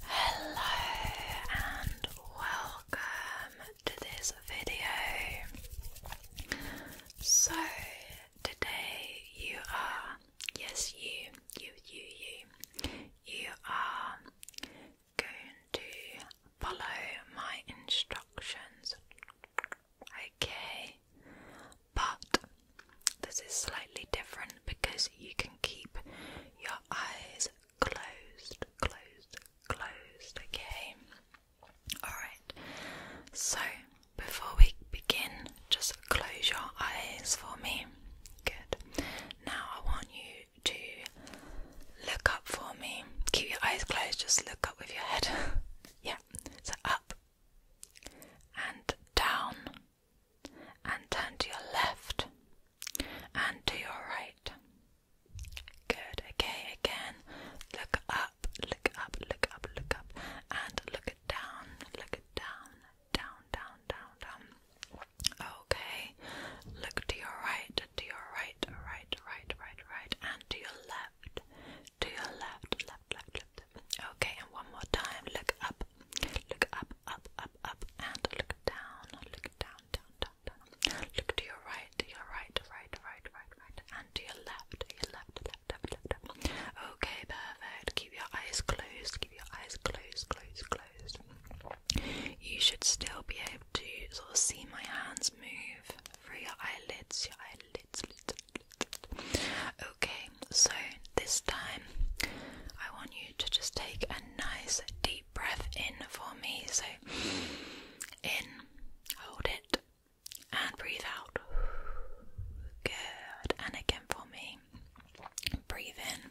Hello and welcome to this video. So, today you are, yes, you, you, you, you, you are going to follow my instructions, okay? But this is slightly different because you can keep your eyes closed, closed, closed, okay? Alright, so before we begin, just close your eyes for me. Good. Now I want you to look up for me. Keep your eyes closed, just look up with your head. yeah, so up and down and turn to your left and to your right. Good, okay, again, look up, look up, look up, look up, and look it down, look it down, down, down, down, down. Okay, look to your right, to your right, right, right, right, right, and to your left, to your left, left, left, left. Okay, and one more time, look up, Look up, up, up, up, and look down. Look down, down, down, down. Look to your right, to your right, right, right, right, right, and to your left, your left, left, left, left, Okay, perfect. Keep your eyes closed. Keep your eyes closed, closed, closed. You should still be able to sort of see my hands move through your eyelids, your eyelids. Okay, so this time I want you to just take a nice deep breath in for me. So, in, hold it, and breathe out. Good, and again for me. Breathe in,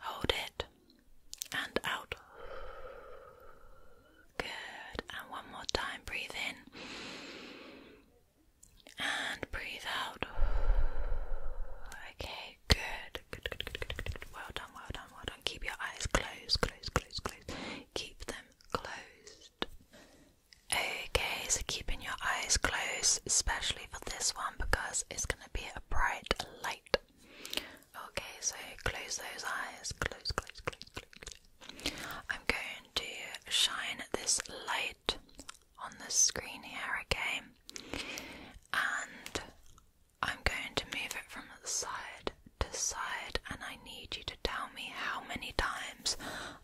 hold it, and out. Good, and one more time. Breathe in and breathe out. Okay, good. Good, good, good, good, Well done, well done, well done. Keep your eyes closed, closed, closed, closed. Keep them closed. Okay, so keeping your eyes closed, especially for this one because it's going to be a bright light. Okay, so close those eyes. Close, close, close, close. close. I'm going to shine this light on the screen here again, and I'm going to move it from side to side, and I need you to tell me how many times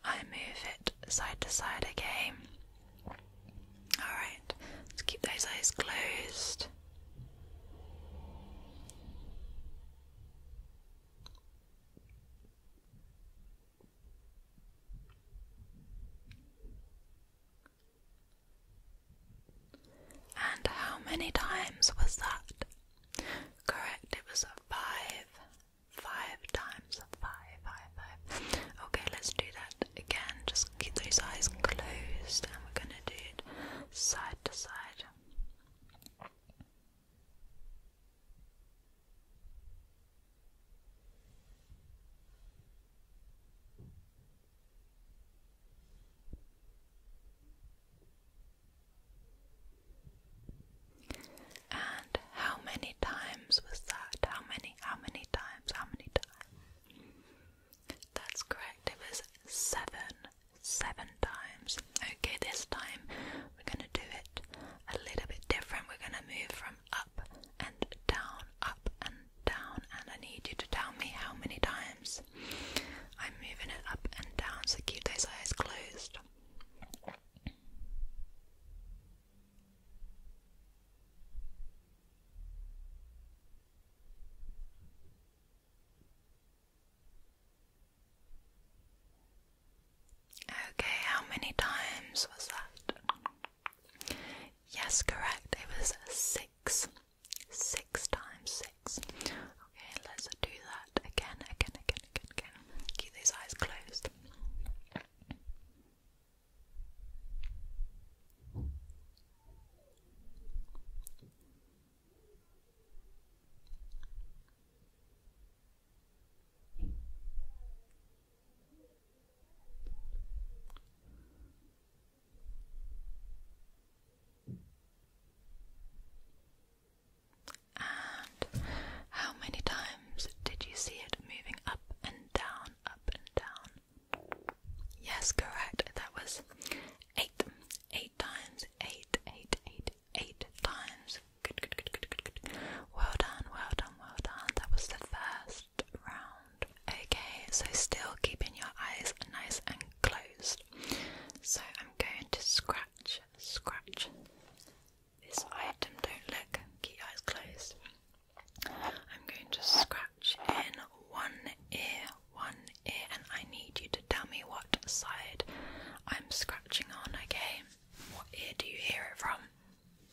I move it side to side again. Alright, let's keep those eyes closed. And how many times was that? Correct, it was five. Five times five, five, five. Okay, let's do that again. Just keep those eyes closed and we're gonna do it side to side. And how many times was that? How many, how many times, how many times? That's correct, it was seven, seven times. Okay, this time we're going to do it a little bit different. We're going to move from up and down, up and down, and I need you to tell me how many times I'm moving it up and down. So keep those eyes closed. Okay, how many times was that? Yes, correct. It was six. Six times six. Okay, let's do that again, again, again, again, again. Keep those eyes closed. And how many times did you see it moving up and down, up and down? Yes, correct. That was eight. Eight times. Eight, eight, eight, eight times. Well done, well done, well done. That was the first round. Okay, so still keeping your eyes nice and closed. So I'm going to scratch, scratch this item. Don't look, keep eyes closed. I'm going to scratch in one ear, one ear, and I need you to tell me what side I'm scratching on, okay? What ear do you hear it from?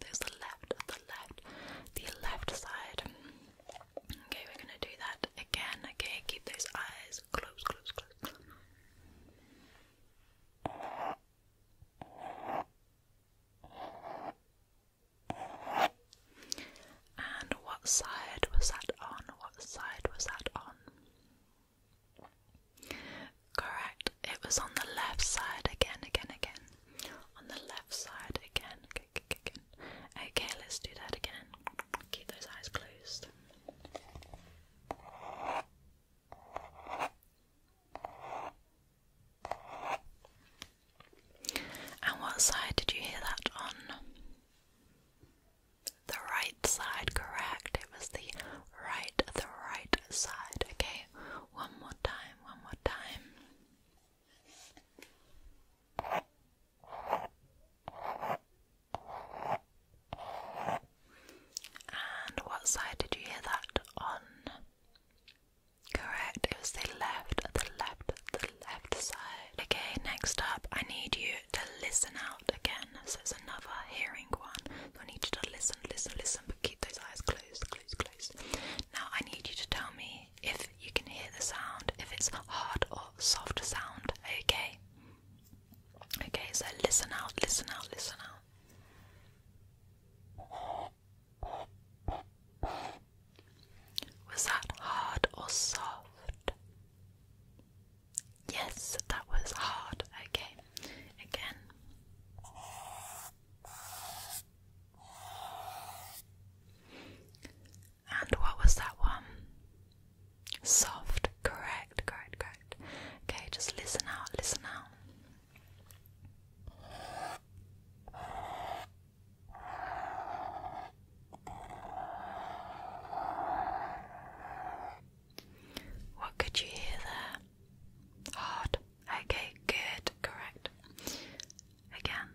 there's the left, the left, the left side. Okay, we're gonna do that again. Okay, keep those eyes closed, close, close. And what side was that on? What side was that on? Correct, it was on the left side again, again, again. On the left side again. Okay, let's do that again. Keep those eyes closed. And what side did you hear that on? The right side, correct. It was the right, the right side. Okay, one more time, one more time. And what side did you hear that on? Correct, it was the left, the left, the left side. Okay, next up, I need you to listen out again. So it's another hearing one. I need you to listen, listen, listen, but keep those eyes closed, closed, closed. Now I need you to tell me if you can hear the sound, if it's hard or soft sound, okay? Okay, so listen out, listen out, listen out. Was that hard or soft? Yes, that was hard. Okay, again. And what was that one? Soft. Correct, correct, correct. Okay, just listen out, listen out. What could you hear there? Hard. Okay, good, correct. Again.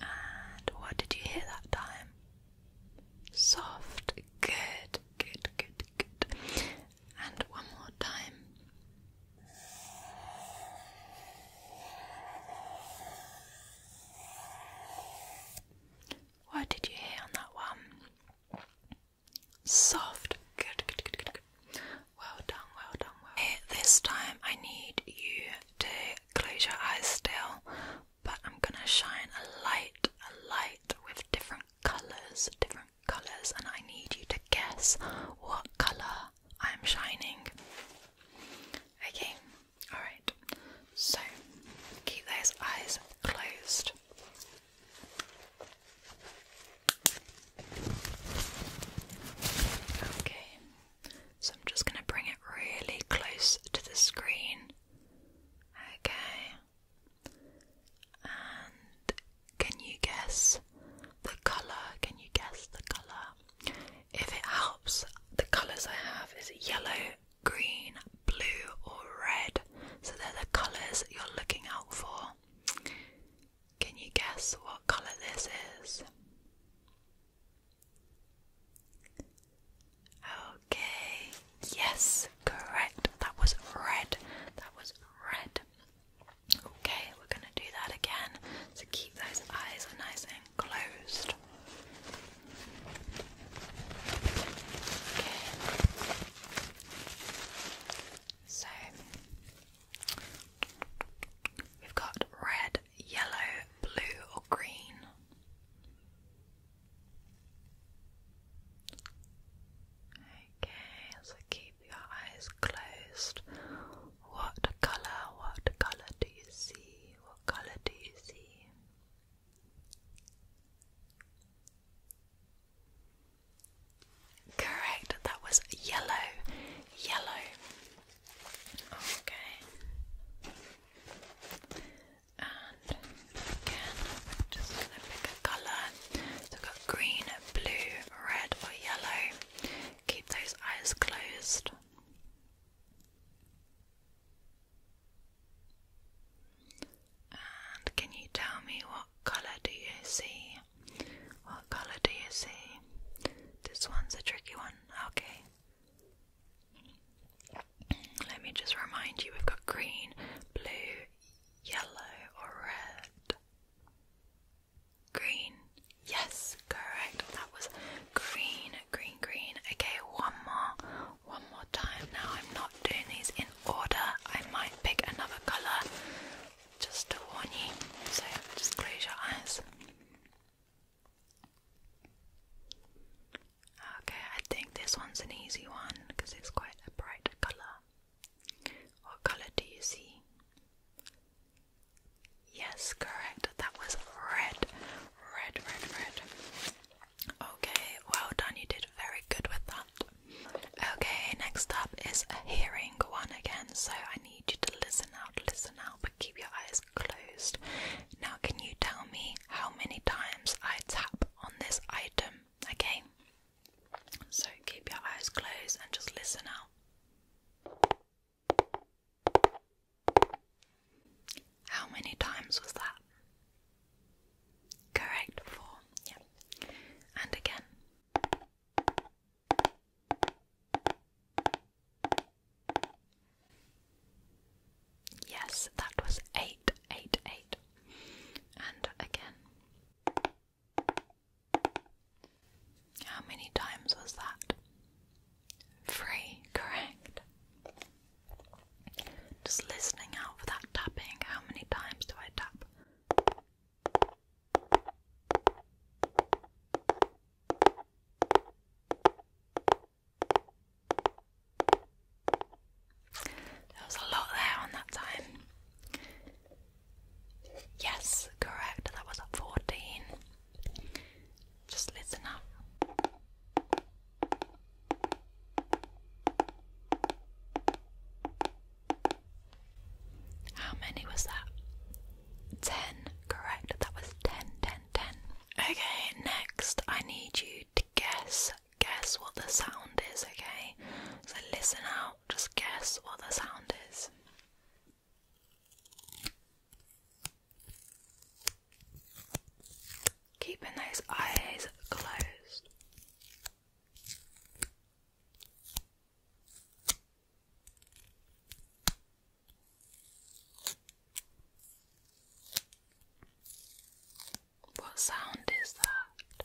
And what did you hear that time? Soft. Good, good, good, good. And one more time. What did you hear on that one? Soft. Good, good, good, good, Well done, well done, well eh, this time I need you to close your eyes still, but I'm gonna shine a light, a light with different colours, different colours, and I need you to guess what colour I'm shining. Okay, Alright, so keep those eyes closed. Okay, so I'm just going to bring it really close to the screen. Okay, and can you guess the colour? Can you guess the colour? If it helps, the colours I have is yellow green, blue, or red. So they're the colours you're looking out for. Can you guess what colour this is? Okay, yes, correct. That was red. That was red. Okay, we're going to do that again. So keep those eyes nice closed. So we've got red, yellow, blue, or green. Okay, so keep your eyes closed. What colour, what colour do you see? What colour do you see? Correct, that was yellow, yellow. Okay. And again, just going to colour. So got green, blue, red, or yellow. Keep those eyes closed can you tell me what colour do you see? What colour do you see? This one's a tricky one. Okay. Let me just remind you we've got green, blue, yellow, or red. Green. Yes, correct. That was green, green, green. Okay, one more, one more time. Now I'm not doing these in order. I might pick another colour just to warn you. So just close your eyes. Okay, I think this one's an easy one because it's quite a bright colour. What colour do you see? Yes, correct. That was red. Red, red, red. Okay, well done. You did very good with that. Okay, next up is a hearing one again. So I need you to listen out, listen out, but keep your eyes closed. Now, can you tell me how many times I tap on this item? Okay? So keep your eyes closed and just listen out. How many times was that? Correct, four. Yeah. And again. Yes, that was eight, eight, eight. And again. How many times was that? Free, correct. Just listening out for that tapping. How many times do I tap? There was a lot there on that time. Yes, correct. That was 14. Just listen up. How many was that? Ten, correct. That was ten, ten, ten. Okay, next I need you to guess, guess what the sound is, okay? So listen out, just guess what the sound is. Keeping those eyes closed. What sound is that?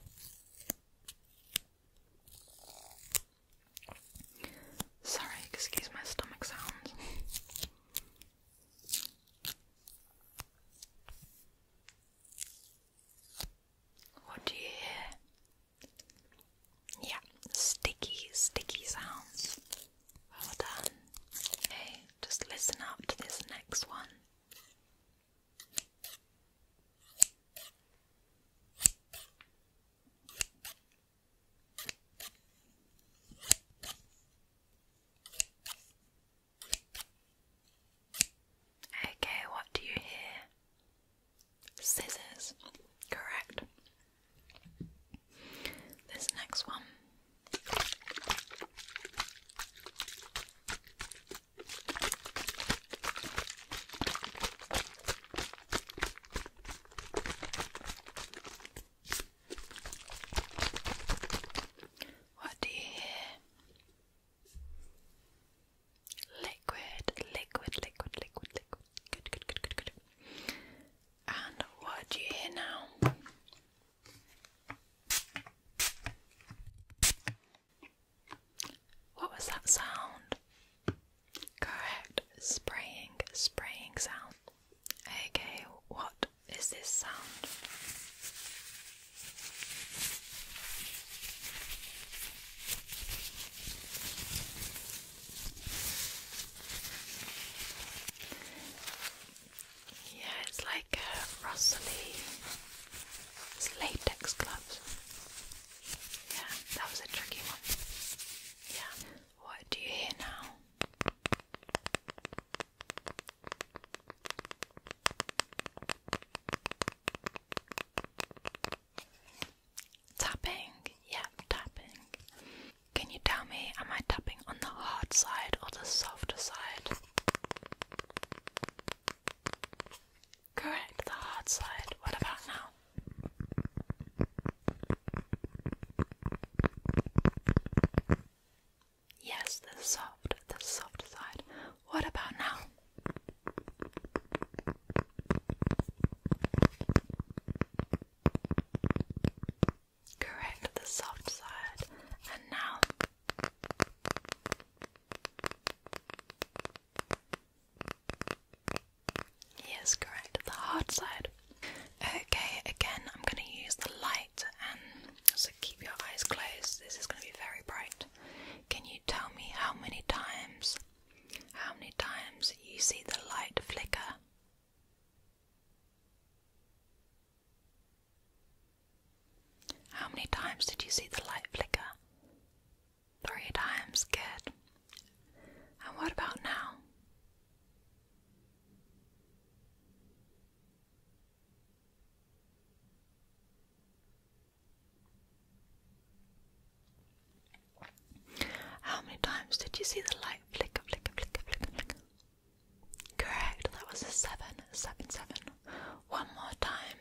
Sorry, excuse my stomach sounds. What do Yeah, sticky, sticky sounds. Well done. Okay, just listen up to this next one. Okay, what do you hear? Scissors, correct. This next one. What do you hear? Liquid, liquid, liquid, liquid, liquid. Good, good, good, good, good. And what do you hear now? What was that sound? Correct, spraying, spraying sound. Okay, what is this sound. Yeah, it's like a uh, rustly it's latex gloves. Yeah, that was a tricky one. Yeah. What do you hear now? Tapping, yeah, tapping. Can you tell me, am I tapping on the hard side or the softer side? Correct, the hard side. What about now? Yes, the soft, the soft side. What about now? Correct, the soft side. And now. Yes, correct, the hard side. Okay, again, I'm going to use the light, and so keep your eyes closed. This is going to be very bright. Can you tell me how many times, how many times you see the light flicker? How many times did you see the light flicker? Three times, good. And what about now? How many times did you see the light flicker, flicker, flicker, flicker, flicker? Correct, that was a seven, seven, seven. One more time.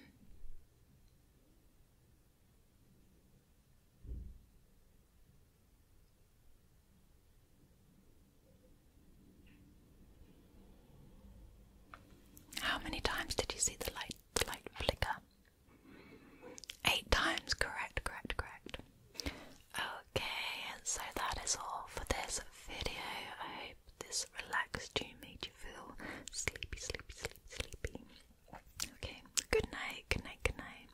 How many times did you see the light the light flicker? Eight times, correct, correct, correct. Okay, and so that is all for this video. I hope this relaxed tune made you feel sleepy, sleepy, sleepy, sleepy. Okay, good night, good night, good night.